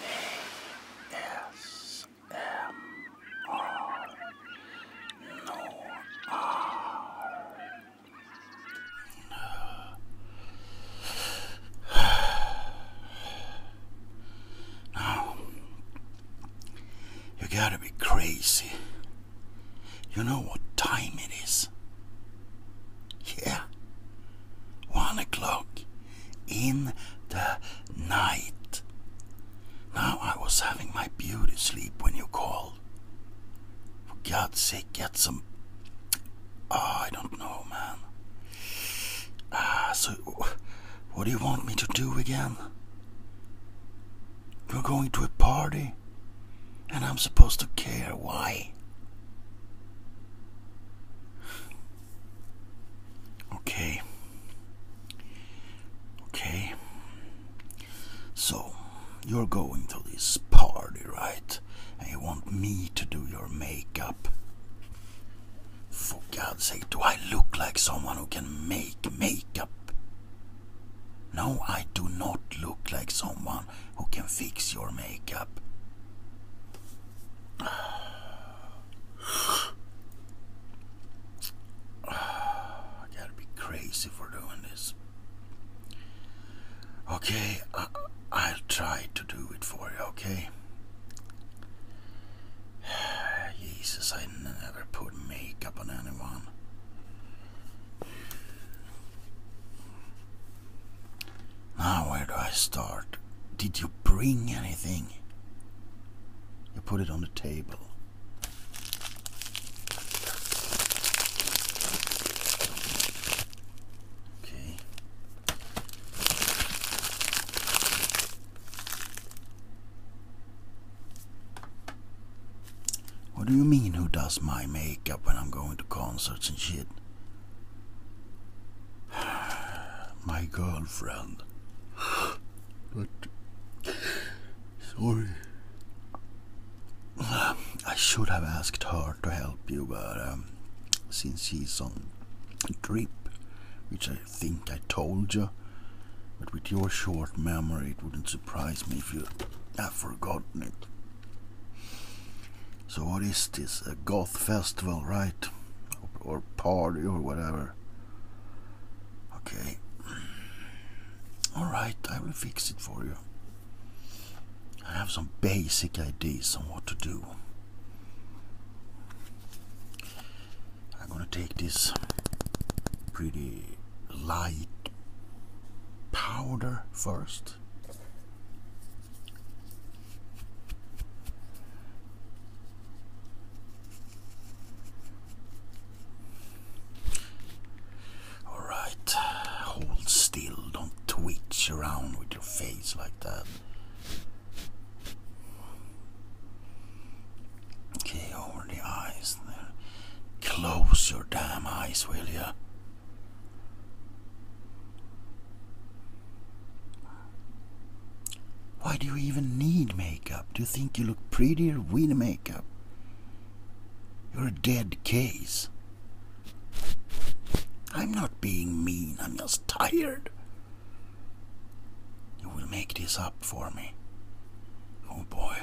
ASMR No you gotta be crazy. You know what time it is? Yeah. One o'clock in the night. Now I was having my beauty sleep when you called. For God's sake, get some. Oh, I don't know, man. Ah, so what do you want me to do again? You're going to a party, and I'm supposed to care. Why? Okay. Okay. So, you're going to this party, right? And you want me to do your makeup. For God's sake, do I look like someone who can make makeup? No, I do not look like someone who can fix your makeup. I gotta be crazy for doing this. Okay, I, uh, will try to do it for you, okay? Jesus, I never put makeup on anyone. Now, where do I start? Did you bring anything? You put it on the table. Okay. What do you mean, who does my makeup when I'm going to concerts and shit? My girlfriend. But. Sorry. I should have asked her to help you, but um, since she's on a trip, which I think I told you, but with your short memory, it wouldn't surprise me if you have forgotten it. So, what is this? A goth festival, right? Or, or party or whatever. Okay. Alright, I will fix it for you. I have some basic ideas on what to do. I'm gonna take this pretty light powder first. Alright, hold still, don't twitch around with your face like that. Okay, over the eyes there. Close your damn eyes, will you? Why do you even need makeup? Do you think you look prettier with makeup? You're a dead case. I'm not being mean, I'm just tired. You will make this up for me. Oh boy.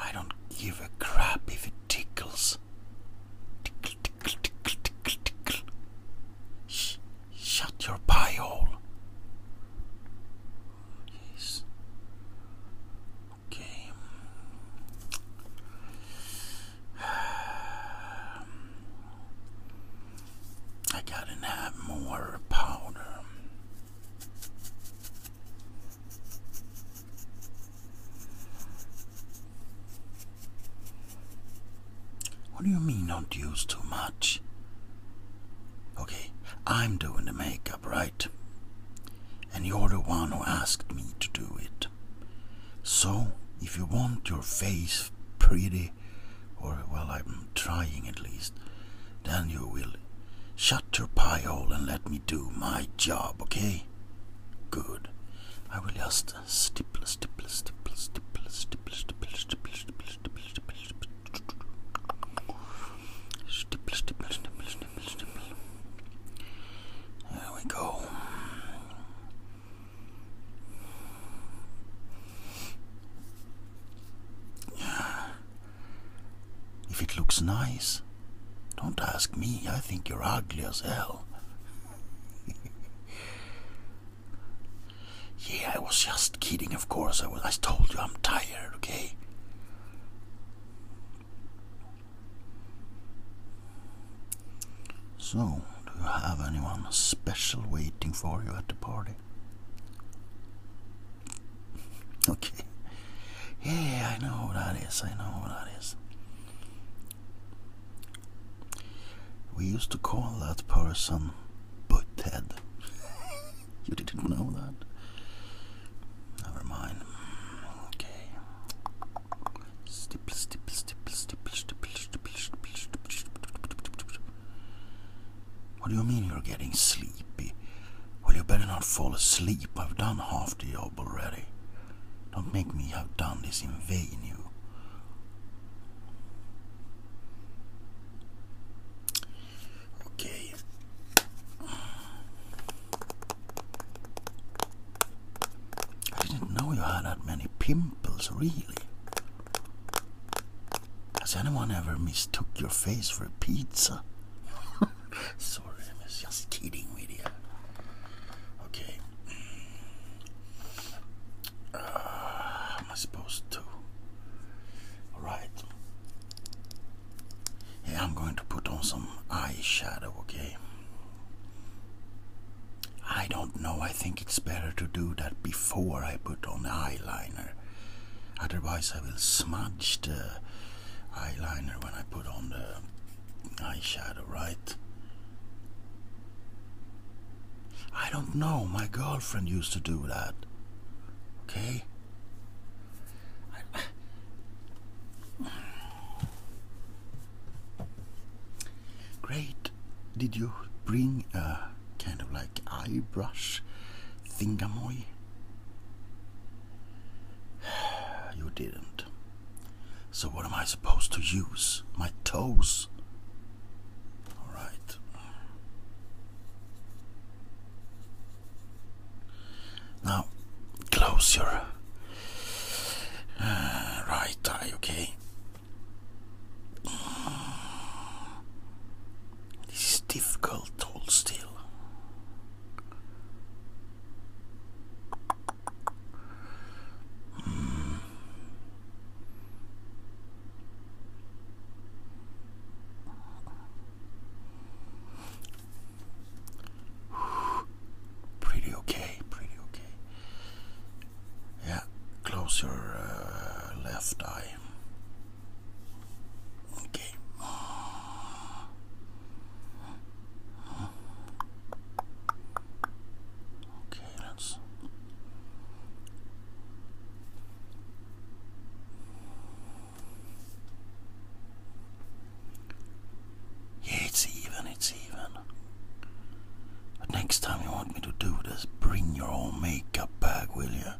I don't give a crap if it tickles. Tickle, shut your pie hole. Yes. Okay. I gotta have more powder. What do you mean don't use too much? Okay, I'm doing the makeup, right? And you're the one who asked me to do it. So, if you want your face pretty, or well, I'm trying at least, then you will Shut your pie hole and let me do my job, okay? Good. I will just stipple, stipple, stipple, stipple, stipple, stipple, stipple, stipple, stipple, stipple, stipple, stipple, stipple, stipple, stipple. There we go. If it looks nice, don't ask me. I think you're ugly as hell. yeah, I was just kidding, of course. I, was, I told you I'm tired, okay? So, do you have anyone special waiting for you at the party? okay. Yeah, I know what that is. I know what that is. We used to call that person Butthead. you didn't know that? Never mind. Okay. What do you mean you're getting sleepy? Well, you better not fall asleep. I've done half the job already. Don't make me have done this in vain, you. Okay. I didn't know you had that many pimples, really. Has anyone ever mistook your face for a pizza? Sorry, I just kidding with Okay. Uh, am I supposed to? Alright. Yeah, I'm going to put on some eyeshadow, okay? I don't know, I think it's better to do that before I put on eyeliner otherwise I will smudge the eyeliner when I put on the eyeshadow, right? I don't know, my girlfriend used to do that. Okay? Great. Did you bring a kind of like eye brush thingamoy? You didn't. So, what am I supposed to use? My toes? Alright. Now, close your right eye, okay? This is difficult to still. Mm. Pretty okay, pretty okay. Yeah, close your uh, left eye. Okay. Okay, let's. Yeah, it's even, it's even. But next time you want me to do this, bring your own makeup bag, will you?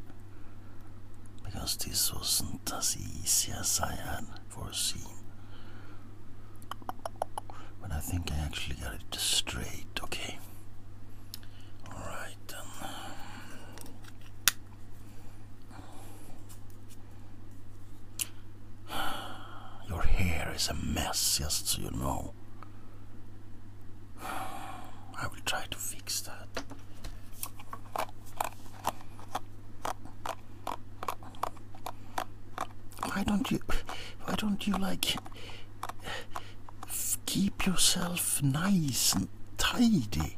Because this wasn't as easy as I had for a seam. But I think I actually got it straight, okay? Alright then. Your hair is a mess, just so you know. I will try to fix that. Why don't you, why don't you like keep yourself nice and tidy?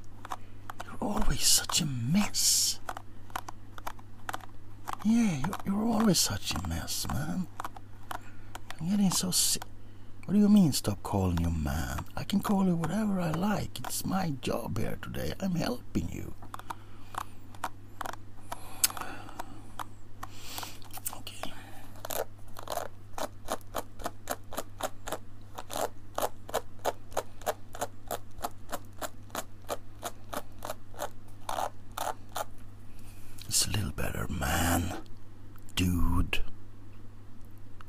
You're always such a mess. Yeah, you're, always such a mess, man. I'm getting so sick. What do you mean, stop calling you man? I can call you whatever I like. It's my job here today. I'm helping. It's a little better, man, dude,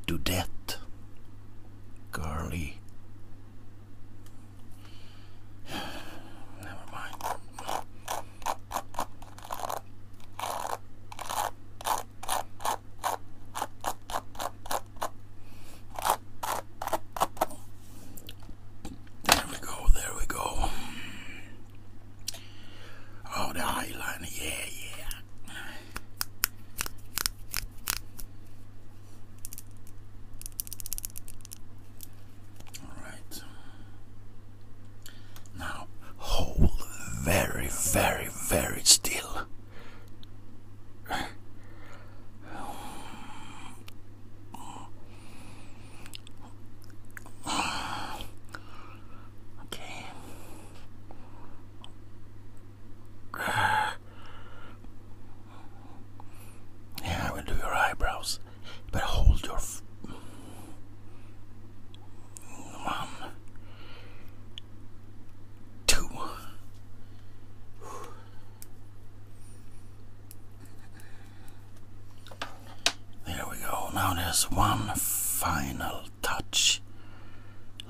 dudette, girly, Never mind. There we go, there we go. Oh, the eyeliner, yeah, yeah. Alright. Now hold very, very, very still. Okay. yeah, I will do your eyebrows, but hold your. one, two. There we go. Now there's one final touch.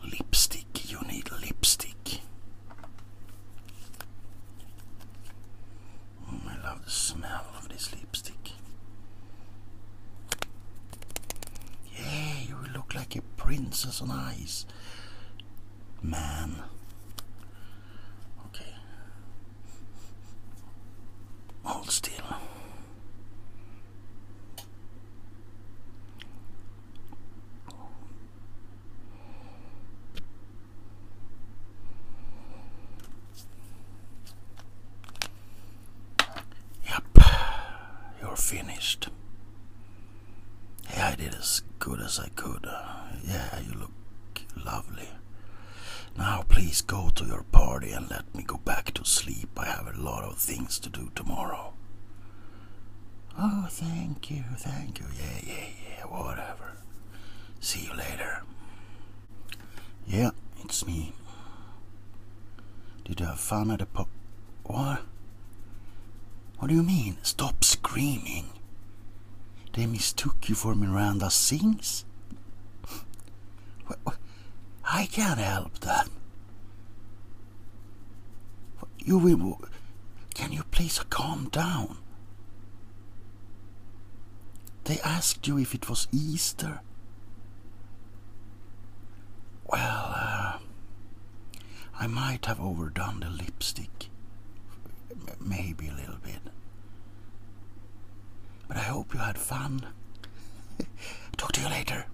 Lipstick. You need lipstick. Mm, I love the smell of this lipstick. Yeah, you look like a princess on ice. Man. Okay. Hold still. Yep, you're finished. Yeah, I did as good as I could. Yeah, you look lovely. Now, please go to your party and let me go back to sleep. I have a lot of things to do tomorrow. Oh, thank you, thank you. Yeah, yeah, yeah, whatever. See you later. Yeah, it's me. Did you have fun at the pub? What? What do you mean? Stop screaming. They mistook you for Miranda Sings? I can't help that. You will. Can you please calm down? They asked you if it was Easter. Well, uh, I might have overdone the lipstick. Maybe a little bit. But I hope you had fun. Talk to you later.